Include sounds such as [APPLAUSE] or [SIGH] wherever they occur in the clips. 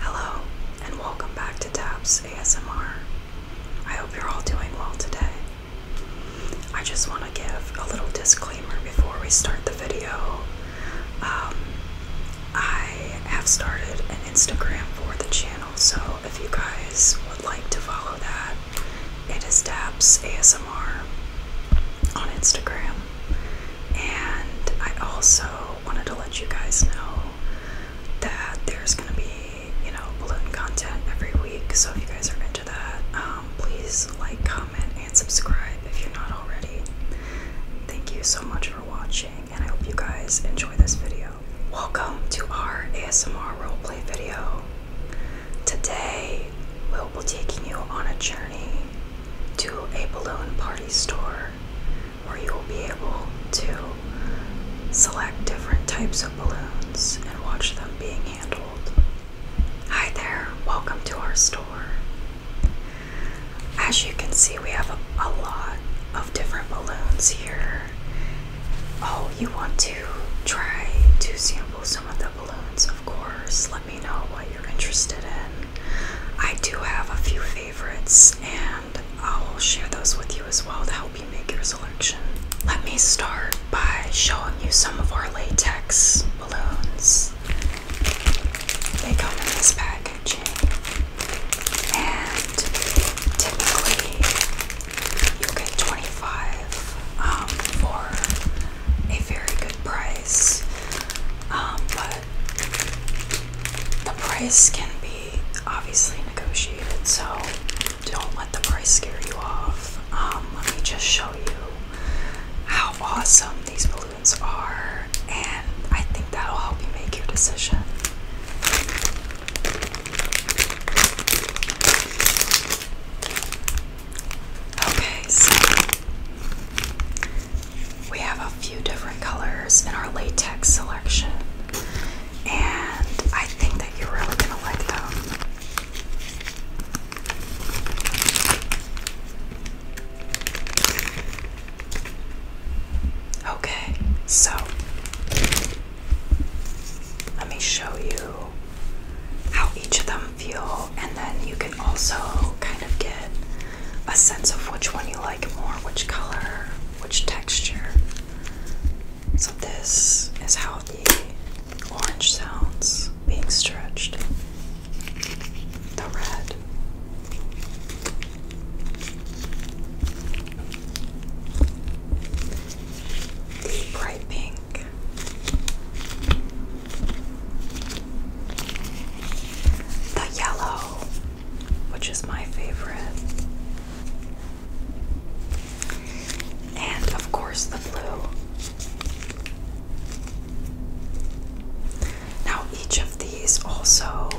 Hello, and welcome back to Taps ASMR. I hope you're all doing well today. I just want to give a little disclaimer before we start the video. Um, I have started an Instagram for the channel, so if you guys would like to follow that, it is Taps ASMR on Instagram. And I also wanted to let you guys know that there's gonna be, you know, balloon content every week. So if you guys are into that, um, please like, comment, and subscribe if you're not already. Thank you so much for watching, and I hope you guys enjoy this video. Welcome to our ASMR roleplay video. Today, we'll be taking you on a journey to a balloon party store where you will be able to select different types of balloons and watch them being handled. Hi there, welcome to our store. As you can see, we have a, lot of different balloons here. Oh, you want to try to sample some of the balloons, of course. Let me know what you're interested in. I do have a few favorites, and I'll share those with you as well to help you make your selection. Let me start by showing you some of our latex balloons. They come in this packaging, and typically you get 25 um, for a very good price. Um, but the price can be obviously negotiated, so don't let the price scare you off. Um, let me just show you how awesome these balloons are, and I think that'll help you make your decision. Okay, so we have a few different colors in our latex selection, and I think that you're really gonna like them. Okay, so let me show you how each of them feel, and then you can also kind of get a sense of which one you like more, which color, which texture. So, this is how the orange sounds being stretched. The red. The bright pink. The yellow which is my favorite. And of course, the blue. Now, each of these also,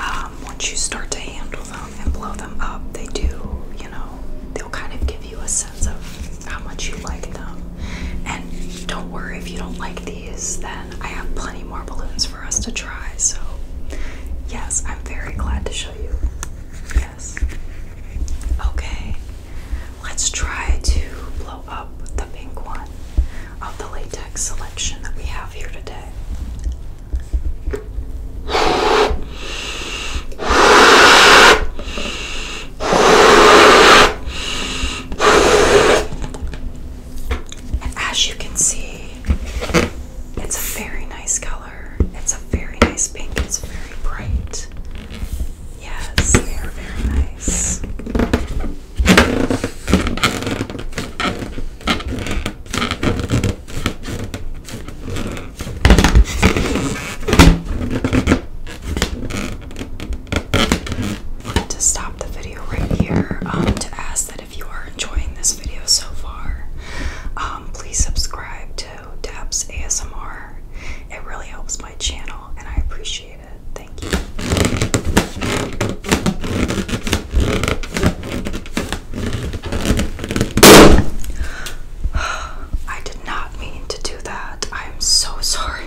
um, once you start to handle them and blow them up, they do, you know, they'll kind of give you a sense of how much you like them. And don't worry if you don't like these these, then I have plenty more balloons for us to try. So, yes, I'm very glad to show you. Yes. Okay, let's try to blow up the pink one of the latex selection that we have here today. And as you can see, it's a very nice color. It's a very nice pink. It's very bright. Yes, they are very nice to stop the video right here um, to ask that if you are enjoying this video so far, um, please subscribe to Dabs ASMR. It really helps my channel and I appreciate it. Thank you. [SIGHS] I did not mean to do that. I'm so [LAUGHS] sorry.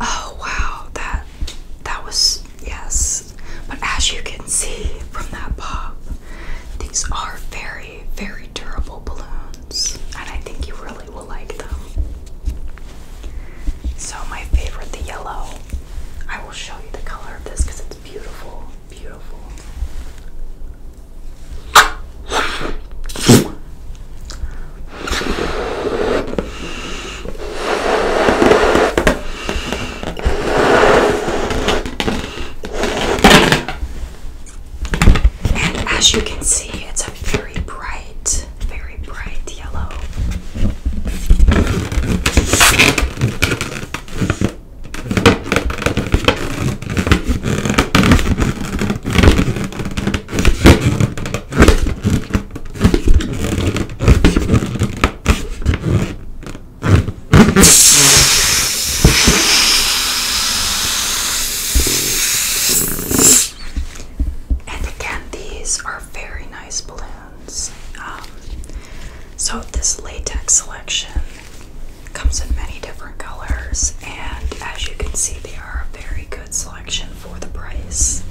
Oh wow, that that was yes. But as you can see from that pop, these are very, very durable balloons, and I think you really will like them. So, my favorite, the yellow. I will show you the color of this because it's beautiful, beautiful. And as you can see, it's a very bright, very bright yellow. And again, these are very nice balloons. Um, so, this latex selection comes in many different colors, and as you can see, they are a very good selection for the price.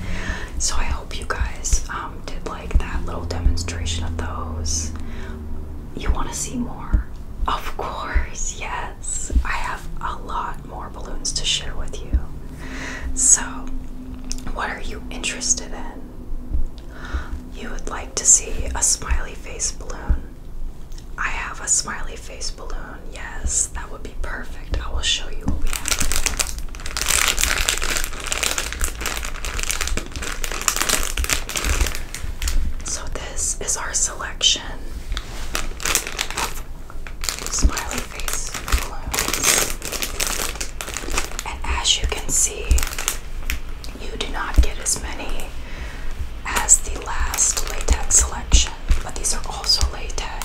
So I hope you guys um, did like that little demonstration of those. You want to see more? Of course, yes. I have a lot more balloons to share with you. So, what are you interested in? You would like to see a smiley face balloon. I have a smiley face balloon. Yes, that would be perfect. I will show you what we have. So this is our selection of smiley face balloons. And as you can see, you do not get as many as the last latex selection, but these are also latex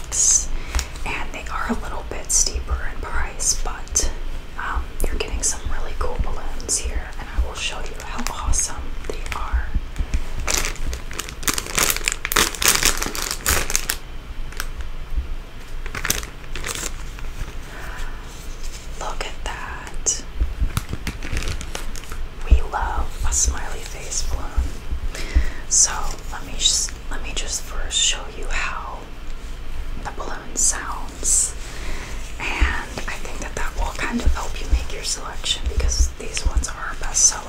and they are a little bit steeper in price, but um, you're getting some really cool balloons here, and I will show you how awesome they are. Look at that. We love a smiley face balloon. So let me just let me just first show you how the balloon sounds. And I think that that will kind of help you make your selection because these ones are a bestseller.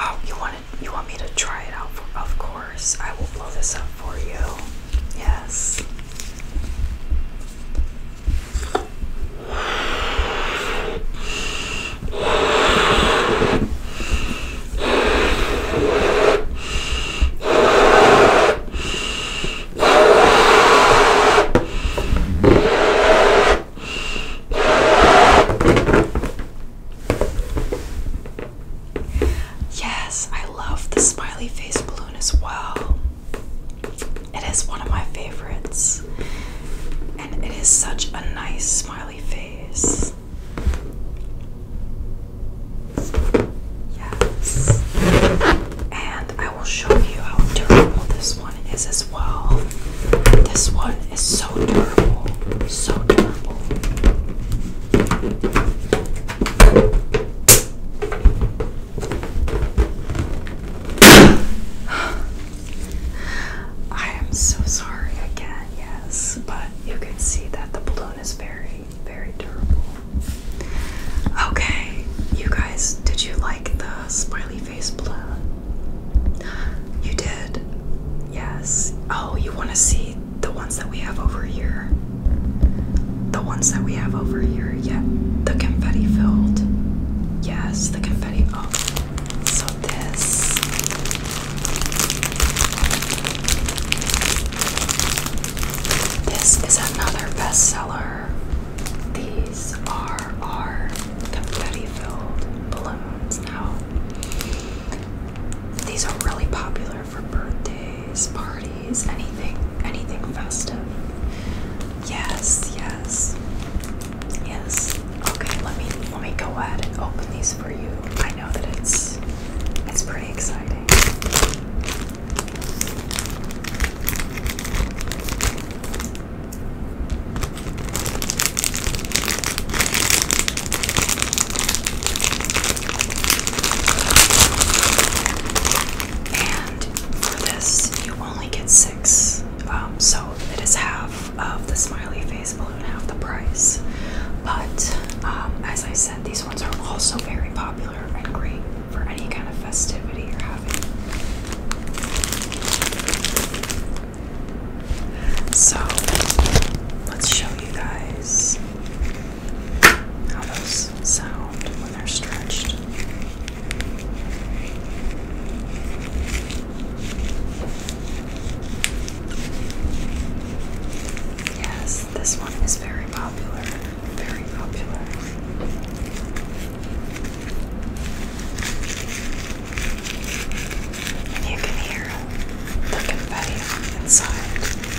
Oh, you you want me to try it out? For, of course, I will blow this up for you. Yes. Yes, I love the smiley face balloon as well. It is one of my favorites. And it is such a nice smiley face. Yes. And I will show you how durable this one is as well. This one is so durable. So durable. [SIGHS] I am so sorry again, yes, but you can see that the balloon is very, very durable. Okay, you guys, did you like the smiley face balloon? [GASPS] You did? Yes. Oh, you want to see the ones that we have over here. The ones that we have over here, yeah. The confetti filled. Yes, the confetti. Oh, so this. This is another bestseller. These are our confetti filled balloons now. These are really popular for birthdays, parties, anything, anything festive. Yes, yes. Yes. Okay, let me let me go ahead and open these for you. I know that it's it's pretty exciting. And for this, you only get six. Um, so it is half of the smiley face balloon, half the price. But um, as I said, these ones are also very popular and great for any kind of festivity you're having. So let's show you guys how those sound when they're stretched. Yes, this one is very popular. Very popular. you can hear the confetti inside.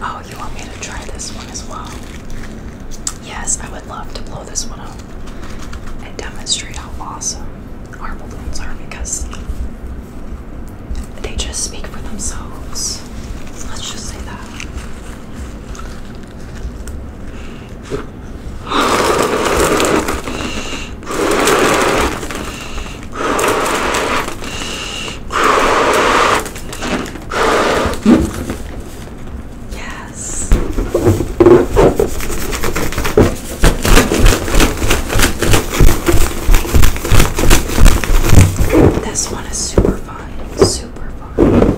Oh, you want me to try this one as well? Yes, I would love to blow this one up and demonstrate how awesome our balloons are because they just speak for themselves. Let's just say that. Yes. This one is super fun. Super fun.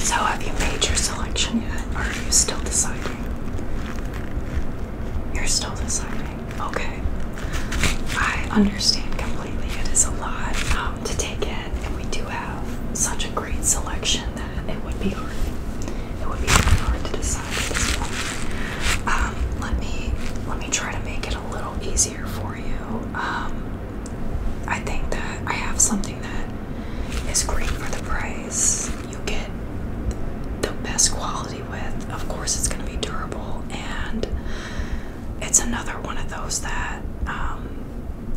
So, have you made your selection yet, are you still deciding? You're still deciding. Okay. I understand completely. It is a lot um, to take in, and we do have such a great selection that it would be hard. It would be very hard to decide at this point. Um, let me let me try to make it a little easier for you. Um, I think that I have something that is great for the price. You get the best quality with. Of course, it's going to be durable, and it's another one of those that um,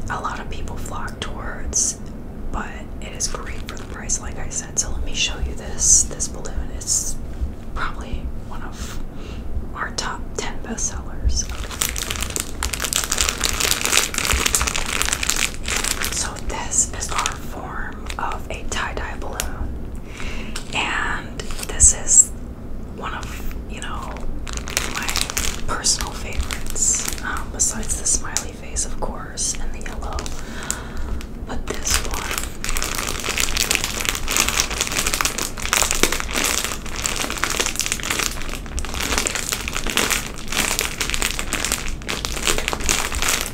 a lot of people flock towards but it is great for the price, like I said. So let me show you this this balloon. It's probably one of our top ten bestsellers. Okay. So this is our form of a tie-dye balloon, and this is one of you know my personal favorites. Um, besides the smiley face, of course, and the yellow. But this one,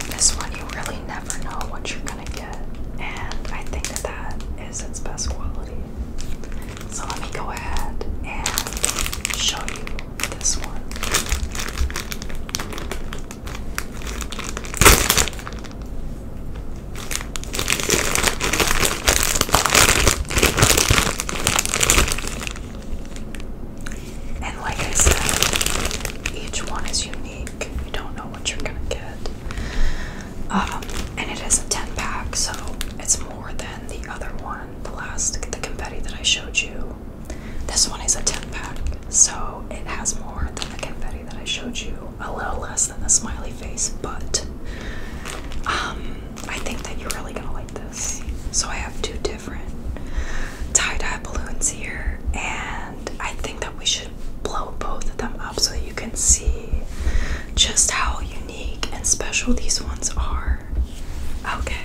this one, you really never know what you're gonna get, and I think that that is its best quality. So let me go ahead and show you this one. And like I said, each one is unique. You don't know what you're gonna get. Um, and it is a 10 pack, so it's more than the other one, the last, the confetti that I showed you. This one is a 10 pack, so it has more than the confetti that I showed you, a little less than the smiley face, but um, I think that you're really gonna like this. So I have two different tie-dye balloons here, and I think that we should blow both of them up so that you can see just how unique and special these ones are. Okay.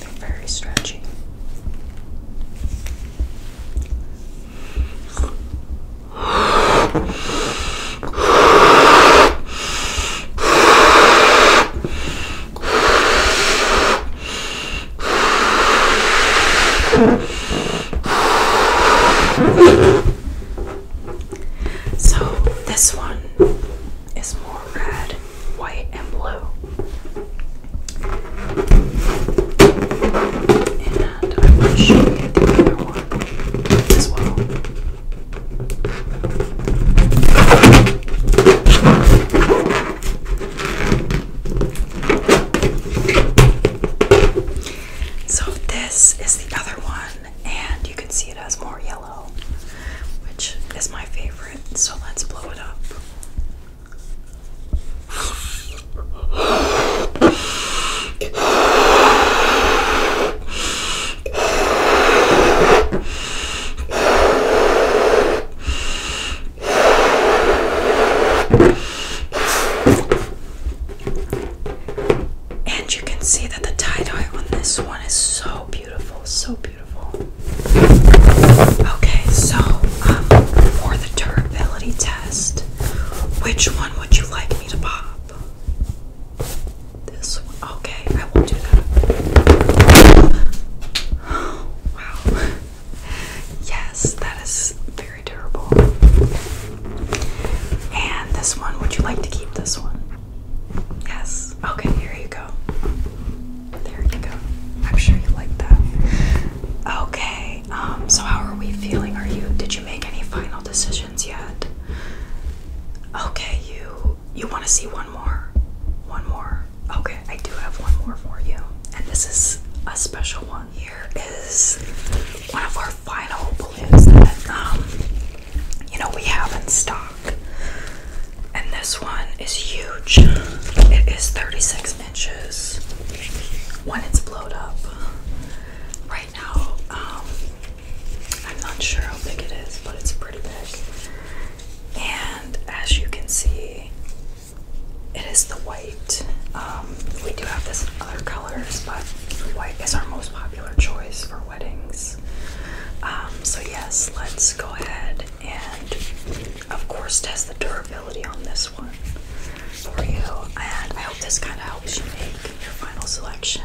They're very stretchy. So this one is more red, white, and blue. And I will show you the other one as well. So this is the other one, and you can see it has more yellow, which is my favorite. So let's blow it up. [LAUGHS] And you can see that the tie dye on this one is so beautiful, so beautiful. Okay, so um, for the durability test, which one would you like me to pop? This one. Okay, I will do that. [GASPS] wow. Yes, that is very durable. And this one, would you like to keep this one? Yes. Okay, here you go. There you go. I'm sure you like that. Okay. Um so how are we feeling? Are you did you make any final decisions yet? Okay, you you want to see one more? One more. Okay, I do have one more for you. And this is a special one. Here is one of our final balloons that um you know we have in stock. And this one is huge. It is 36 inches when it's blown up. Right now, um I'm not sure how big it is, but it's pretty big. And as you can see, it is the white. Um, we do have this in other colors, but white is our most popular choice for weddings. Um, so, yes, let's go ahead and, of course, test the durability on this one for you. And I hope this kind of helps you make your final selection.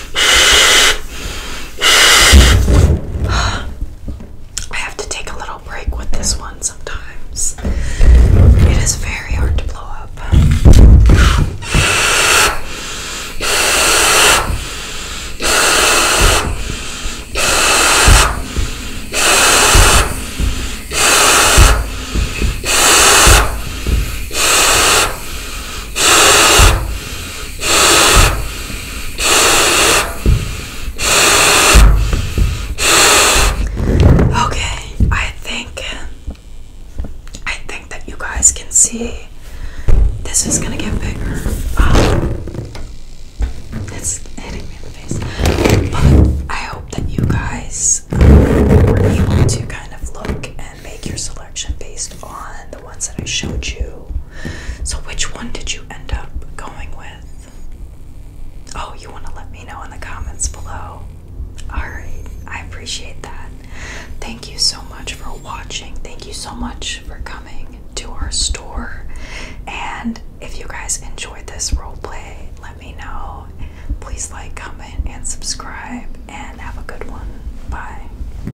I have to take a little break with this one sometimes. It is very hard to blow up. Okay, I think I think that you guys can see this is gonna get bigger. Um, hitting me in the face. But I hope that you guys um, were to kind of look make your selection based on the ones that I showed you. So, which one did you end up going with? Oh, you want to let me know in the comments below. Alright, I appreciate that. Thank you so much for watching. Thank you so much for coming to our store. And if you guys enjoyed this role play, let me know. Please like, comment, and subscribe. And have a good one. Bye.